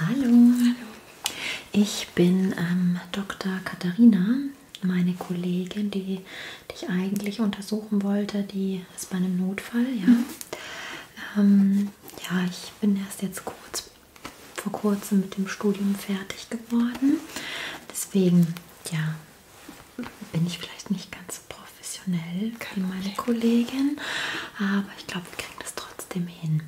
Hallo. Hallo, ich bin ähm, Dr. Katharina, meine Kollegin, die dich eigentlich untersuchen wollte, die ist bei einem Notfall. Ja, mhm. ähm, ja ich bin erst jetzt kurz vor kurzem mit dem Studium fertig geworden. Deswegen ja, bin ich vielleicht nicht ganz so professionell wie meine Kollegin, aber ich glaube, wir kriegen das trotzdem hin.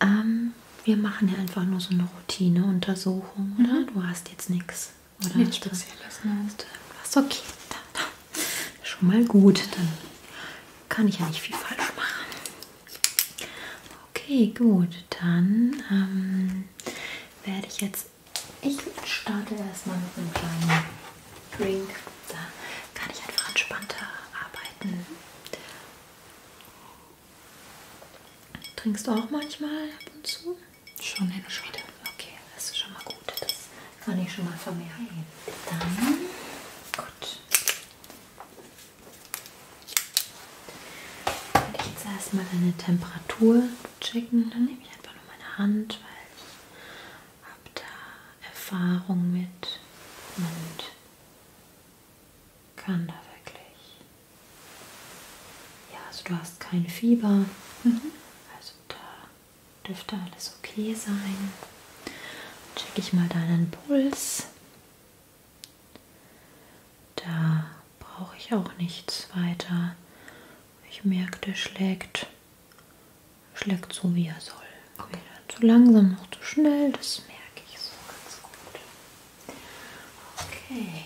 Ähm, wir machen ja einfach nur so eine Routineuntersuchung, mhm. oder? Du hast jetzt nichts, oder? Nichts Spezielles, ne? Was okay, dann. schon mal gut, dann kann ich ja nicht viel falsch machen. Okay, gut, dann ähm, werde ich jetzt, ich starte erstmal mit einem kleinen Drink. Da kann ich einfach entspannter arbeiten. Trinkst du auch manchmal ab und zu? Schon hin und wieder. Okay, das ist schon mal gut. Das kann ich schon mal vermerken. Dann, gut. Werde ich jetzt erstmal deine Temperatur checken. Dann nehme ich einfach nur meine Hand, weil ich habe da Erfahrung mit und kann da wirklich. Ja, also du hast kein Fieber. Mhm. Also da dürfte alles okay sein. Check ich mal deinen Puls. Da brauche ich auch nichts weiter. Ich merke, der schlägt schlägt so, wie er soll. Okay. Weder zu langsam noch zu schnell, das merke ich so ganz gut. Okay.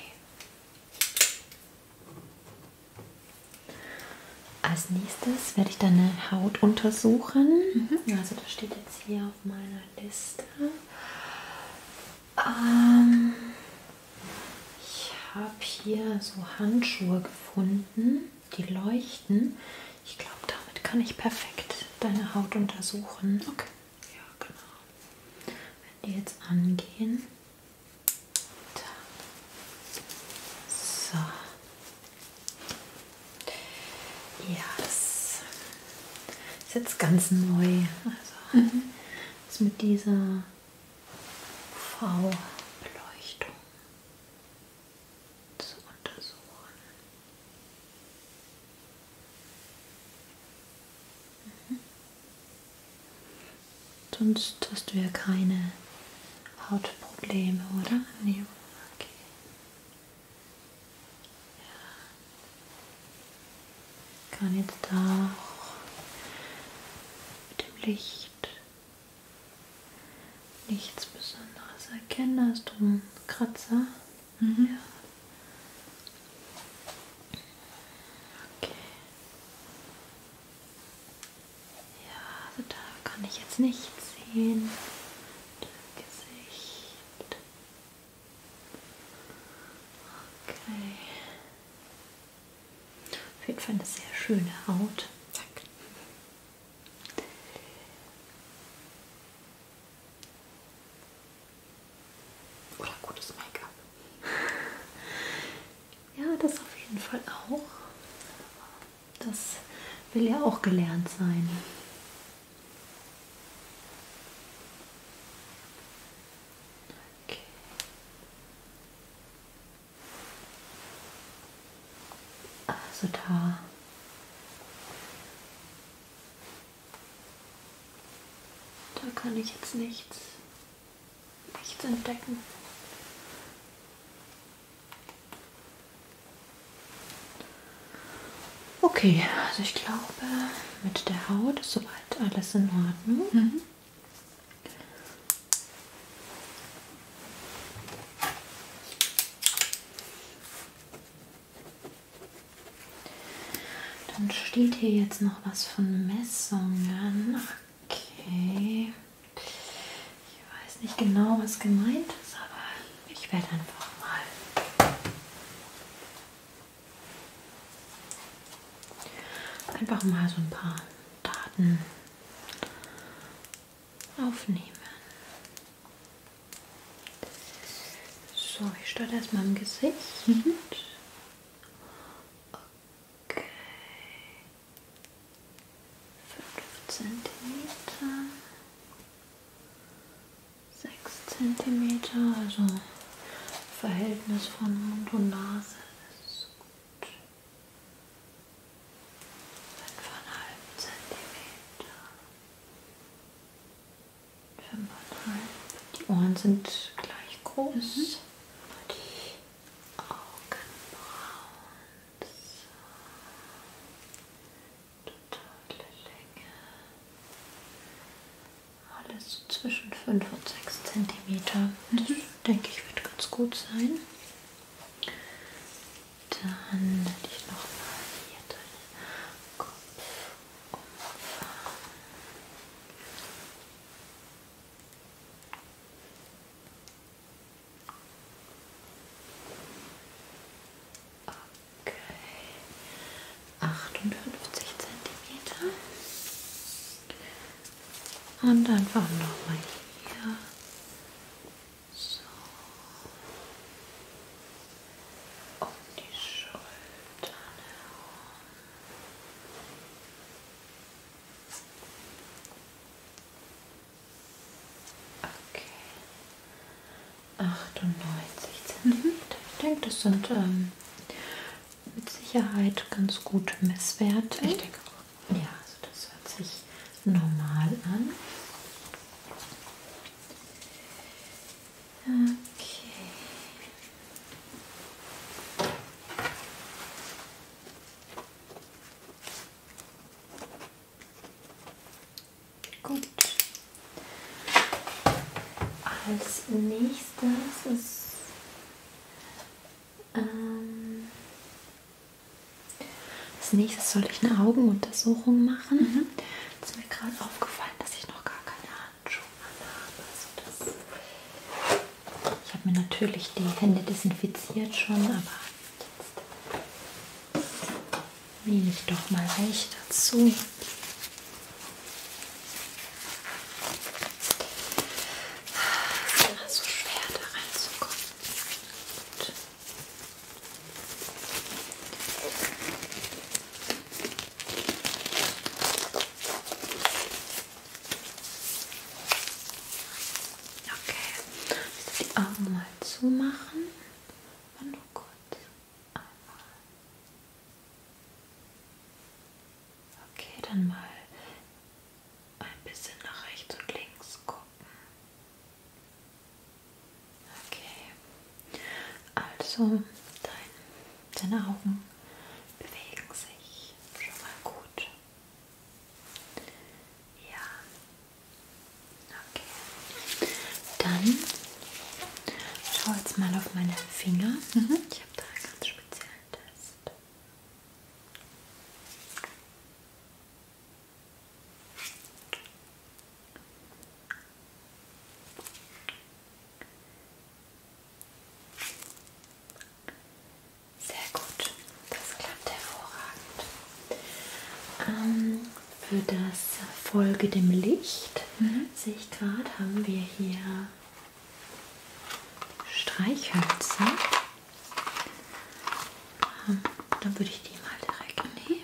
Als nächstes werde ich deine Haut untersuchen. Mhm. Also das steht jetzt hier auf meiner Liste. Ähm, ich habe hier so Handschuhe gefunden die leuchten. Ich glaube, damit kann ich perfekt deine Haut untersuchen. Okay. Ja, genau. Wenn die jetzt angehen. Da. So. Ja, das ist jetzt ganz neu. Also mhm. ist mit dieser V-Beleuchtung zu untersuchen. Mhm. Sonst hast du ja keine Hautprobleme, oder? Nee. Okay. Ja. Kann jetzt auch mit dem Licht nichts Besonderes erkennen. Da ist drum ein Kratzer. Mhm. Ja. Okay. Ja, also da kann ich jetzt nichts sehen. Dein Gesicht. Okay. Auf jeden Fall eine sehr schöne Haut. Danke. Oder gutes Make-up. Ja, das auf jeden Fall auch. Das will ja auch gelernt sein. Okay. Also da da kann ich jetzt nichts nichts entdecken. Okay, also ich glaube, mit der Haut ist soweit alles in Ordnung. Mhm. Dann steht hier jetzt noch was von Messungen. Okay. Ich weiß nicht genau, was gemeint ist, aber ich werde einfach mal einfach mal so ein paar Daten aufnehmen. So, ich starte erstmal im Gesicht. Okay. 5 cm. 6 cm, also Verhältnis von Mund und Nase ist gut. 5,5 cm. Die Ohren sind gleich groß. Mhm. Die Augenbrauen. So. Totale Länge. Alles so zwischen 5 und 6 cm. Mhm. Das mhm. denke ich wird ganz gut sein. Dann werde ich nochmal hier deinen Kopf umfahren. Okay, 58 Zentimeter und einfach nochmal hier so. Um die Schultern herum. Okay. 98 Zentimeter. Ich denke, das sind ähm, mit Sicherheit ganz gut Messwerte. Ich denke auch. Ja, also das hört sich normal an. Okay. Gut. Als nächstes ist ähm, als nächstes soll ich eine Augenuntersuchung machen. Mhm. Es ist mir gerade aufgefallen, dass ich noch gar keine Handschuhe habe. Also ich habe mir natürlich die Hände desinfiziert schon, aber jetzt nehme ich doch mal weich dazu. Es ist immer so schwer da reinzukommen. Gut. Okay, die Augen mal zumachen. Mal nur kurz. Einmal. Okay, dann mal ein bisschen nach rechts und links gucken. Okay, also dein, deine Augen bewegen sich schon mal gut. Ja, okay. Dann schau jetzt mal auf meine Finger. Mhm. Ich habe da einen ganz speziellen Test. Sehr gut, das klappt hervorragend. Ähm, für das Folge dem Licht mhm. sehe ich gerade, haben wir hier Streichhölzer. Ähm, dann würde ich die mal direkt nehmen.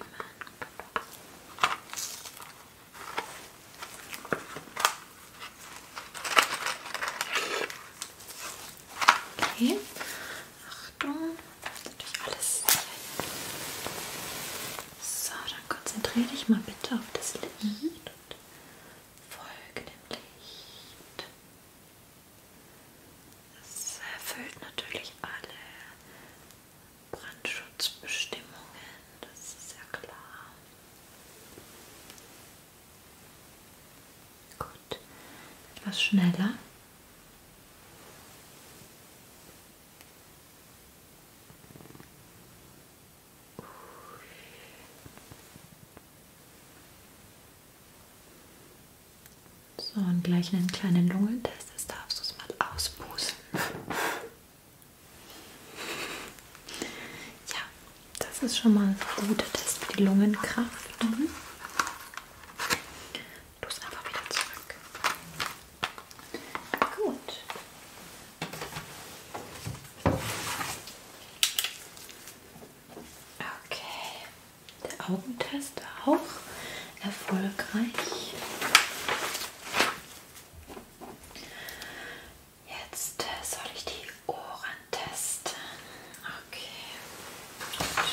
Okay. Achtung, natürlich alles. So, dann konzentriere dich mal bitte auf das Licht und folge dem Licht. Das erfüllt natürlich alle Brandschutzbestimmungen, das ist ja klar. Gut, etwas schneller. So, und gleich einen kleinen Lungentest, das darfst du es mal auspusten. Ja, das ist schon mal ein guter Test für die Lungenkraft. Mhm. Du es aber wieder zurück. Gut. Okay, der Augentest auch erfolgreich. Jetzt äh, soll ich die Ohren testen. Okay.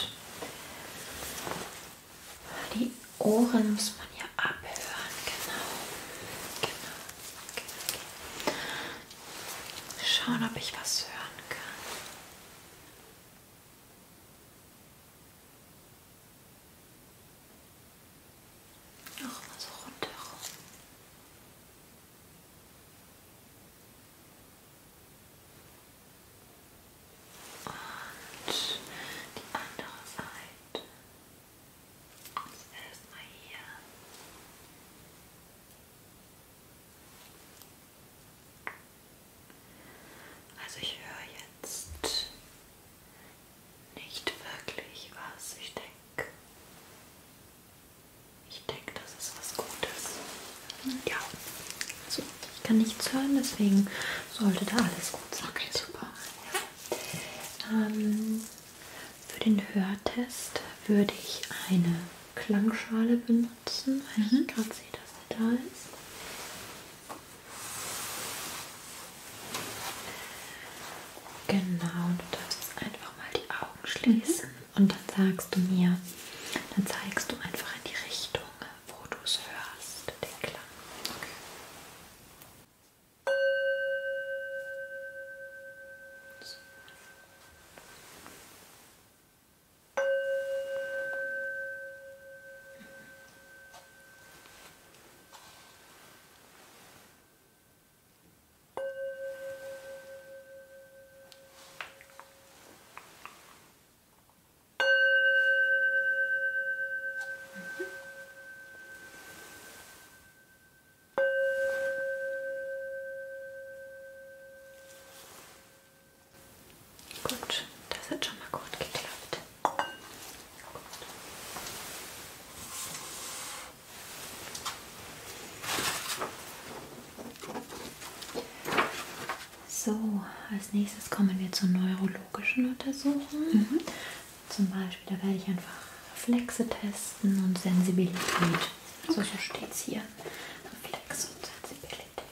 Gut. Die Ohren muss man ja abhören. Genau. Genau. Okay, genau, okay. Genau. Schauen, ob ich was hören kann. Noch mal so runter. Und die andere Seite. Jetzt erstmal hier. Also ich höre jetzt nicht wirklich was. Ich denke, ich denke, das ist was Gutes. Ja, so, also, ich kann nichts hören, deswegen sollte da alles gut sein. Okay, super. Ja. Ähm, für den Hörtest würde ich eine Klangschale benutzen, weil mhm. ich gerade sehe, dass er da ist. Genau, du darfst einfach mal die Augen schließen mhm. und dann sagst du mir, dann zeigst du einfach in die Richtung, wo du es hörst, den Klang. Okay. So. Mhm. Gut, das hat schon mal gut geklappt. So, als nächstes kommen wir zur neurologischen Untersuchung. Mhm. Zum Beispiel, da werde ich einfach Reflexe testen und Sensibilität. Okay. So, so steht es hier. Reflex und Sensibilität.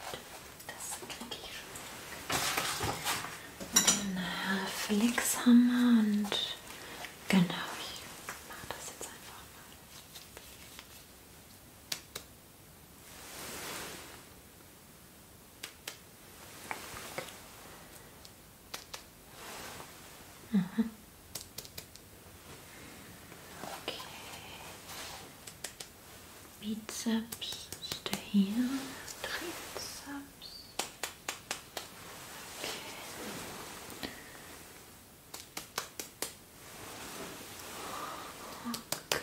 Das kriege ich schon den Flexhammer und genau, ich mache das jetzt einfach mal. Mhm. Okay. Bizeps ist der hier, Trizeps. Okay.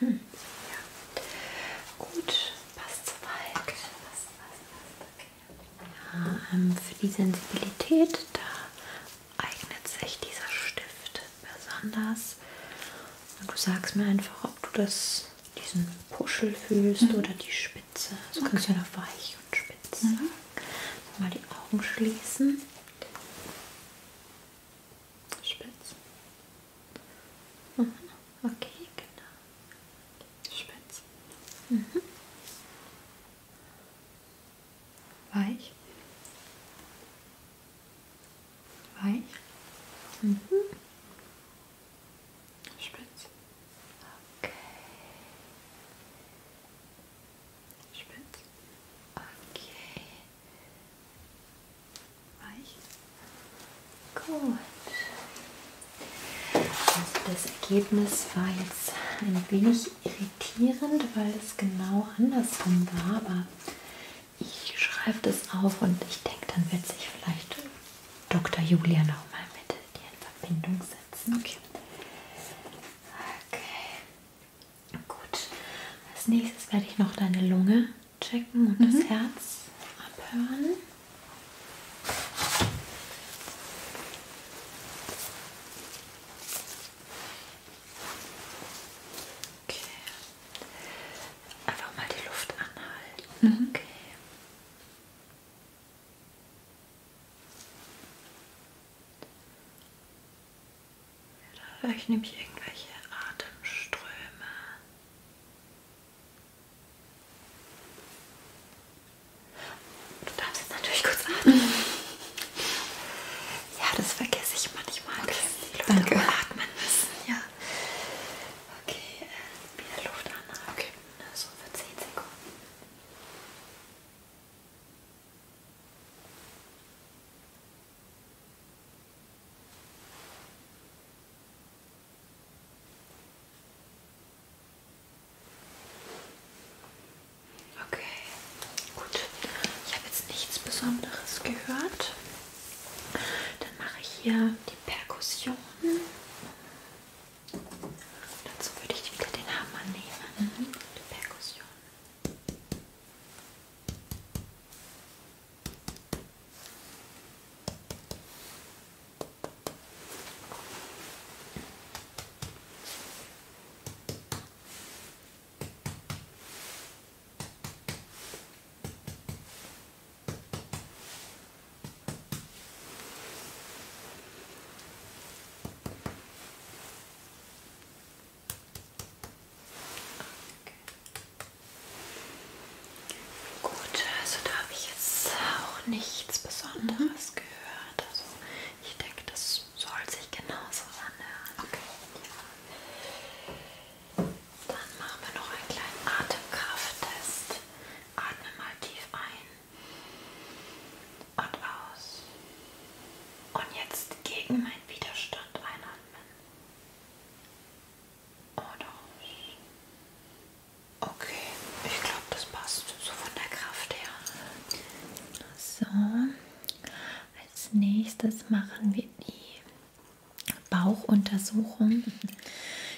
Hm. Ja. Gut, passt soweit. Okay. Passt, passt, passt. Okay. Ja, ähm, für die Sensibilität, da eignet sich dieser Stift besonders. Und du sagst mir einfach, ob du das, diesen Puschel fühlst mhm. oder die Spitze. So okay. kannst du ja noch weich und spitz. Mhm. Mal die Augen schließen. Spitz. Mhm. Okay, genau. Spitz. Mhm weich, weich, mhm. spitz, okay, spitz, okay, weich, gut. Also das Ergebnis war jetzt ein wenig wenig irritierend, weil es genau andersrum war, aber ich schreibe das auf und ich denke, dann wird sich vielleicht Dr. Julia nochmal mit dir in Verbindung setzen. Okay. okay. Gut. Als nächstes werde ich noch deine Lunge checken und mhm. das Herz abhören. Okay. Einfach mal die Luft anhalten. Mhm. Okay. Ja, da höre ich nämlich irgendwelche Atemströme. Du darfst jetzt natürlich kurz atmen. Ja, das vergesse ich manchmal. Okay. Luft Danke. Atmen müssen. Ja. Okay, äh, wieder Luft anhalten. Okay. So für 10 Sekunden. Okay, Gut, ich habe jetzt nichts Besonderes gehört. Dann mache ich hier die Perkussion. Dazu würde ich wieder den Hammer nehmen. Mhm. Die Perkussion. Okay. Gut, also da habe ich jetzt auch nichts Besonderes mhm. gehört. Also ich denke, das soll sich genauso anhören. Okay. Ja. Dann machen wir noch einen kleinen Atemkrafttest. Atme mal tief ein und aus. Und jetzt gegen meinen Widerstand einatmen. Und aus. Okay, ich glaube, das passt so von der Kraft her. So, als nächstes machen wir die Bauchuntersuchung.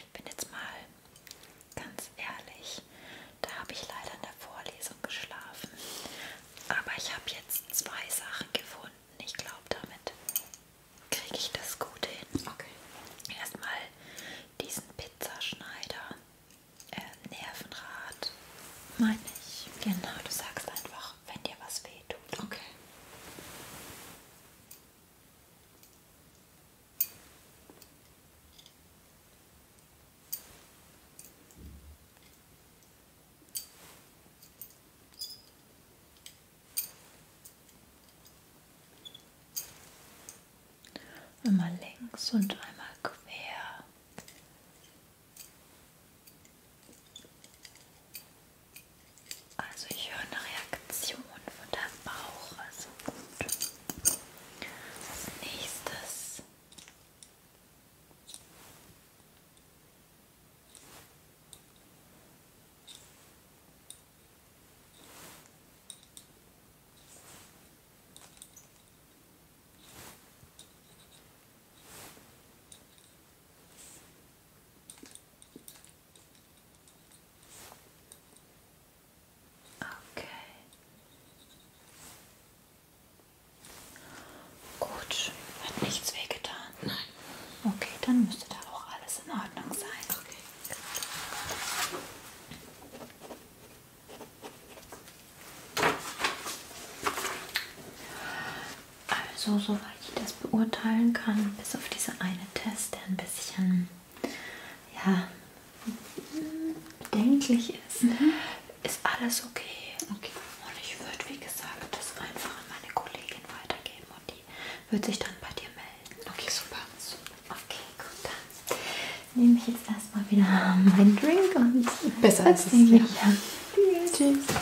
Ich bin jetzt mal ganz ehrlich, da habe ich leider in der Vorlesung geschlafen. Aber ich habe jetzt zwei Sachen gefunden. Ich glaube, damit kriege ich das gut hin. Okay. Erstmal diesen Pizzaschneider, äh, Nervenrad, meine ich. Genau, du sagst einfach auch, wenn dir was weh tut. Okay. Einmal links und einmal quer. Also ich höre eine Reaktion von deinem Bauch, also gut. Als nächstes Okay. Gut, hat nichts wehgetan. Nein. Okay, dann müsste da auch alles in Ordnung sein. Okay. Also, soweit ich das beurteilen kann, bis auf diese eine Test, der ein bisschen ja, bedenklich ist, mhm. ist alles okay. okay. Und ich würde, wie gesagt, das einfach an meine Kollegin weitergeben und die wird sich dann bei dir melden. Okay, super. super. Okay, gut, dann nehme ich jetzt erstmal wieder meinen Drink und besser als ich. Ja. Tschüss.